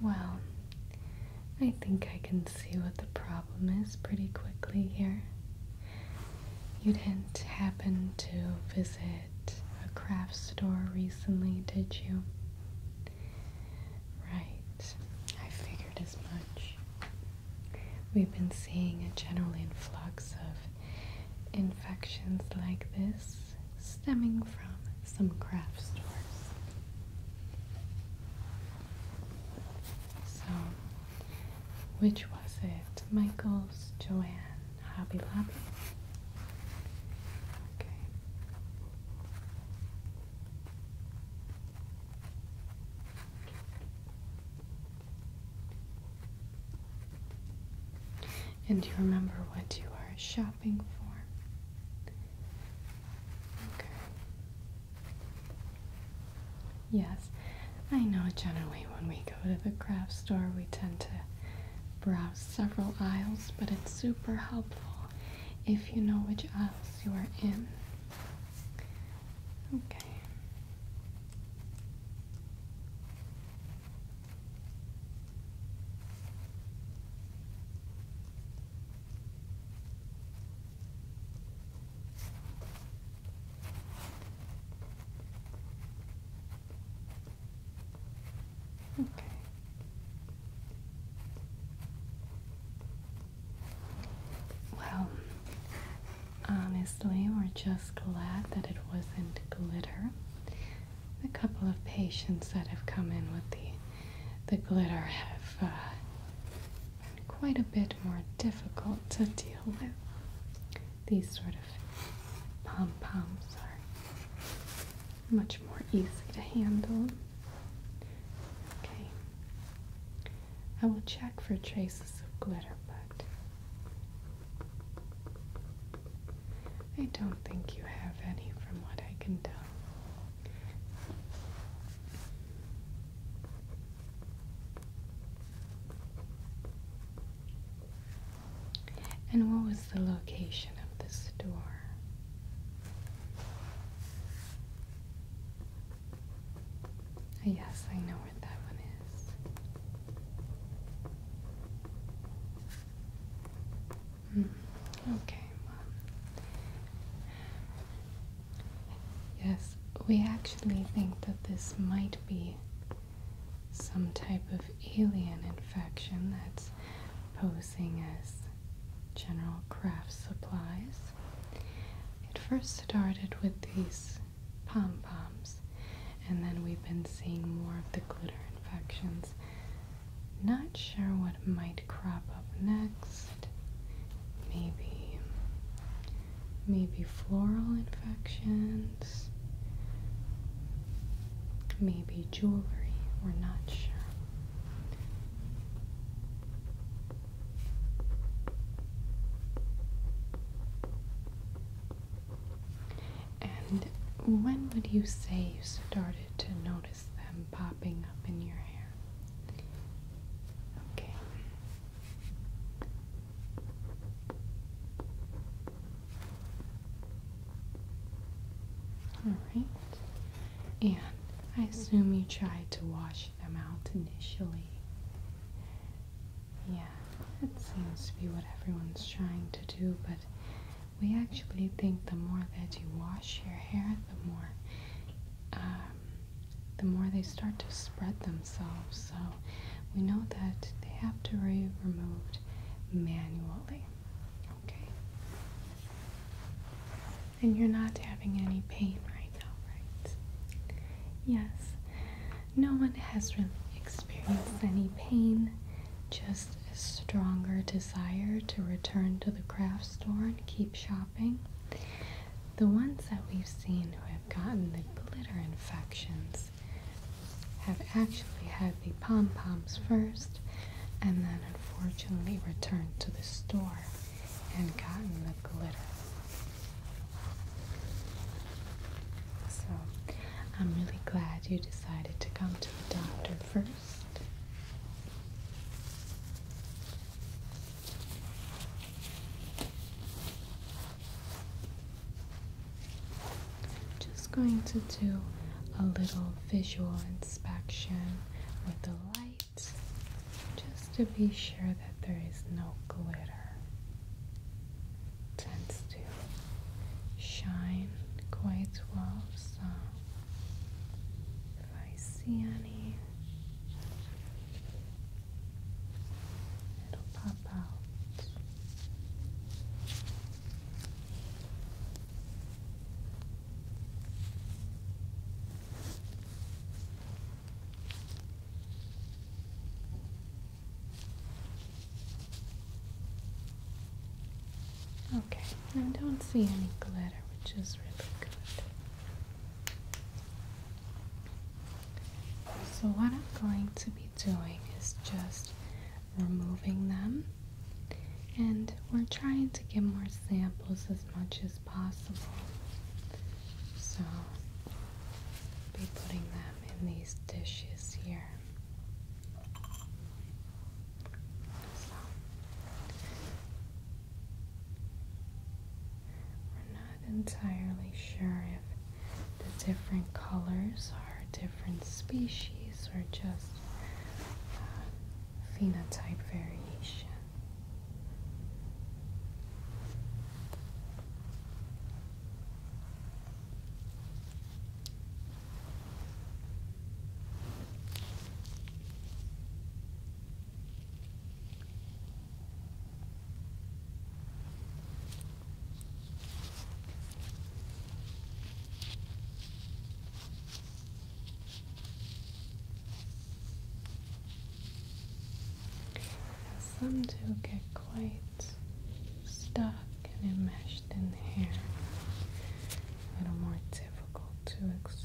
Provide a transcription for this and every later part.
Well, I think I can see what the problem is pretty quickly here. You didn't happen to visit a craft store recently, did you? Right, I figured as much. We've been seeing a general influx of infections like this stemming from some craft stores. So, which was it? Michael's, Joanne, Hobby Lobby? Okay. And do you remember what you are shopping Yes, I know generally when we go to the craft store, we tend to browse several aisles, but it's super helpful if you know which aisle you are in. Okay. Okay. Well, honestly, we're just glad that it wasn't glitter a couple of patients that have come in with the the glitter have uh, been quite a bit more difficult to deal with. These sort of pom poms are much more easy to handle. Okay, I will check for traces of glitter, but I don't think you have any from what I can tell. And what was the location of the store? Yes, I know where that one is. Mm. Okay, well. Yes, we actually think that this might be some type of alien infection that's posing as general craft supplies. It first started with these pom poms, and then we've been seeing more of the glitter infections not sure what might crop up next. Maybe maybe floral infections. Maybe jewelry. We're not sure. And when would you say you started to know? notice them popping up in your hair. Okay. Alright. And I assume you tried to wash them out initially. Yeah, that seems to be what everyone's trying to do, but we actually think the more that you wash your hair, the more um, the more they start to spread themselves. So we know that they have to be removed manually. Okay. And you're not having any pain right now, right? Yes. No one has really experienced any pain. Just a stronger desire to return to the craft store and keep shopping. The ones that we've seen who have gotten the glitter infections have actually had the pom poms first and then unfortunately returned to the store and gotten the glitter. So I'm really glad you decided to come to the doctor first first. Just going to do a little visual inspection with the light just to be sure that there is no glitter. tends to shine quite well, so I see any, it'll pop out. Okay, I don't see any glitter, which is really good. So what I'm going to be doing is just removing them. And we're trying to get more samples as much as possible. So be putting them in these dishes here. So we're not entirely sure if the different colors are different species or just uh, phenotype variation. Some do get quite stuck and enmeshed in the hair a little more difficult to extract.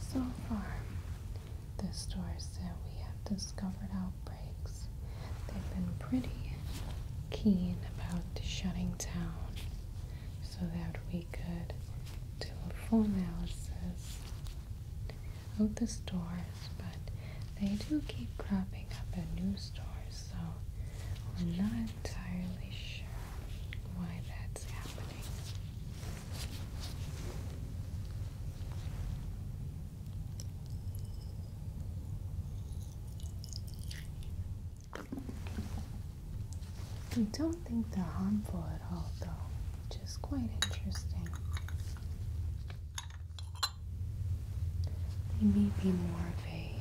So far, the stores said we have discovered outbreaks, they've been pretty keen about shutting down so that we could do a full analysis of the stores, but they do keep cropping up at new stores, so we're not entirely sure why that's happening. I don't think they're harmful at all, though, which is quite interesting. They may be more of a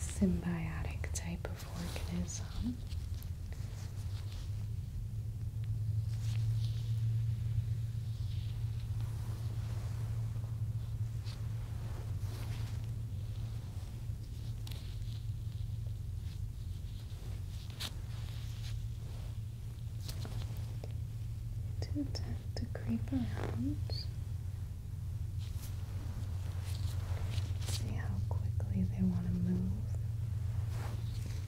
symbiotic type of organism down. To tap to creep around. See how quickly they want to move.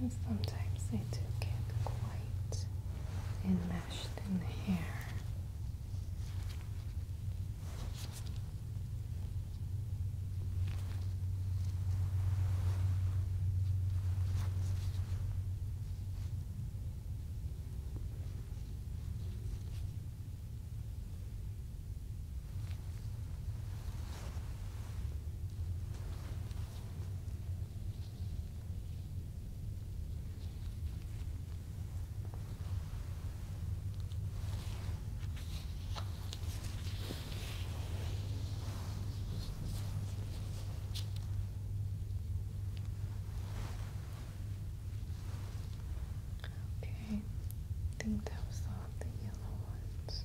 And sometimes they do get quite enmeshed in the hair. Okay, I think that was all the yellow ones.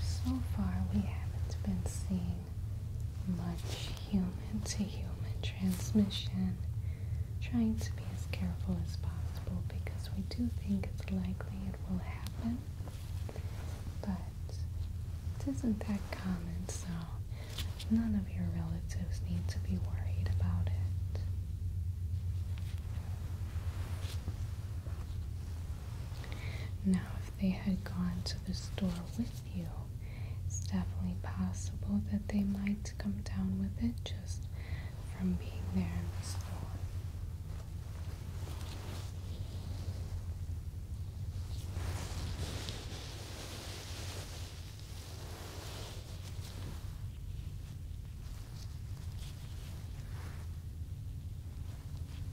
So far, we haven't been seeing much human to human transmission. Trying to be as careful as possible because we do think it's likely it will happen. But it isn't that common, so none of your relatives need to be worried about it. Now, they had gone to the store with you. It's definitely possible that they might come down with it just from being there in the store.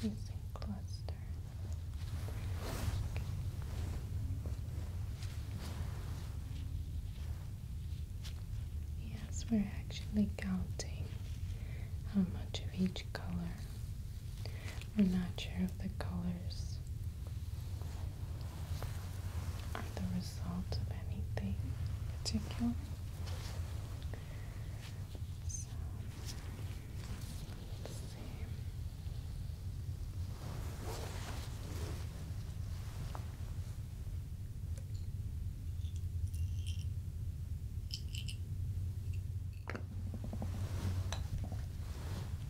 It's a cluster. Yes, we're actually counting how much of each color. We're not sure of the colors are the result of anything particular. So,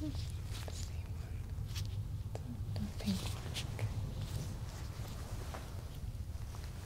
It's the same one. The pink one. Okay.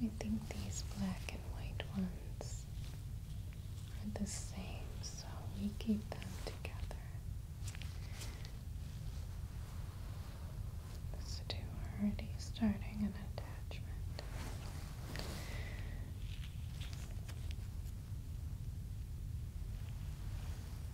We think these black and white ones are the same, so we keep them together. These two are already starting an attachment.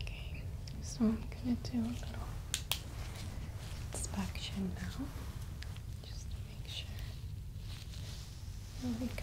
Okay, so I'm going to do a little inspection now just to make sure we got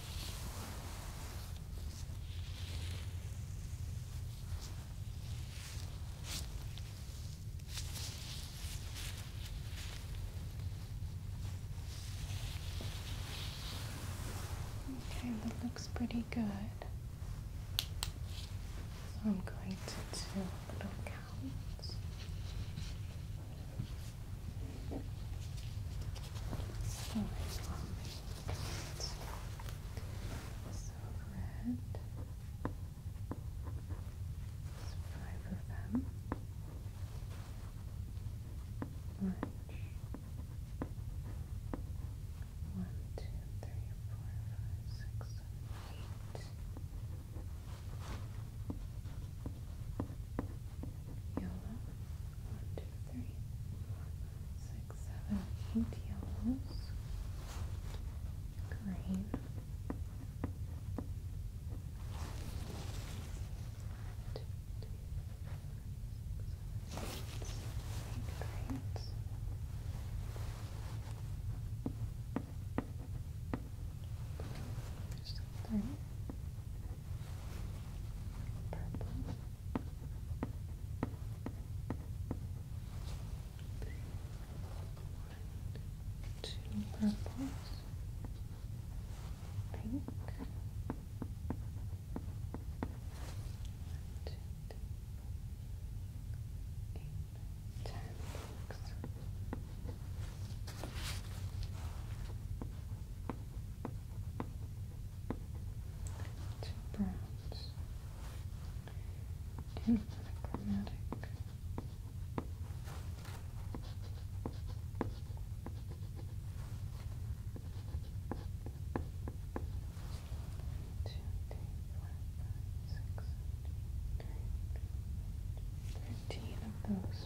Okay, that looks pretty good. So I'm going to do a little count. So so red. five of them. Orange. One, two, three, four, five, six, seven, eight. Yellow six, seven, eight yellows, green. Great. There's three. Purple. Two purples, pink. One, two, three, eight, ten books two browns, and monochromatic. Two, three, four, five, six, seven, eight, nine, thirteen of those ones.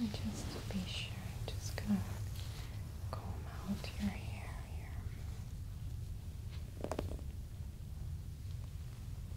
And just to be sure, I'm just gonna comb out your hair here.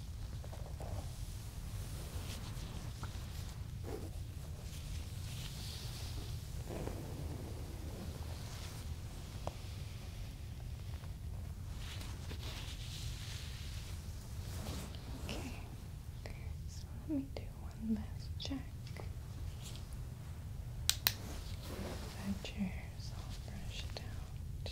Okay, so let me do one last check. That chair's all brushed out.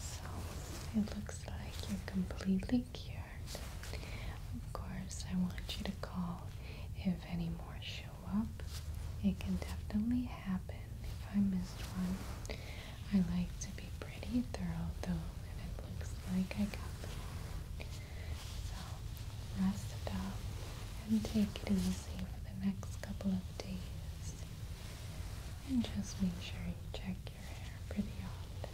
so it looks like you're completely cured. Of course, I want you to call if any more show up. It can definitely happen if I missed one. I like to be pretty thorough though, and it looks like I got them all. So rest up and take it easy for the next couple of days. And just make sure you check your hair pretty often.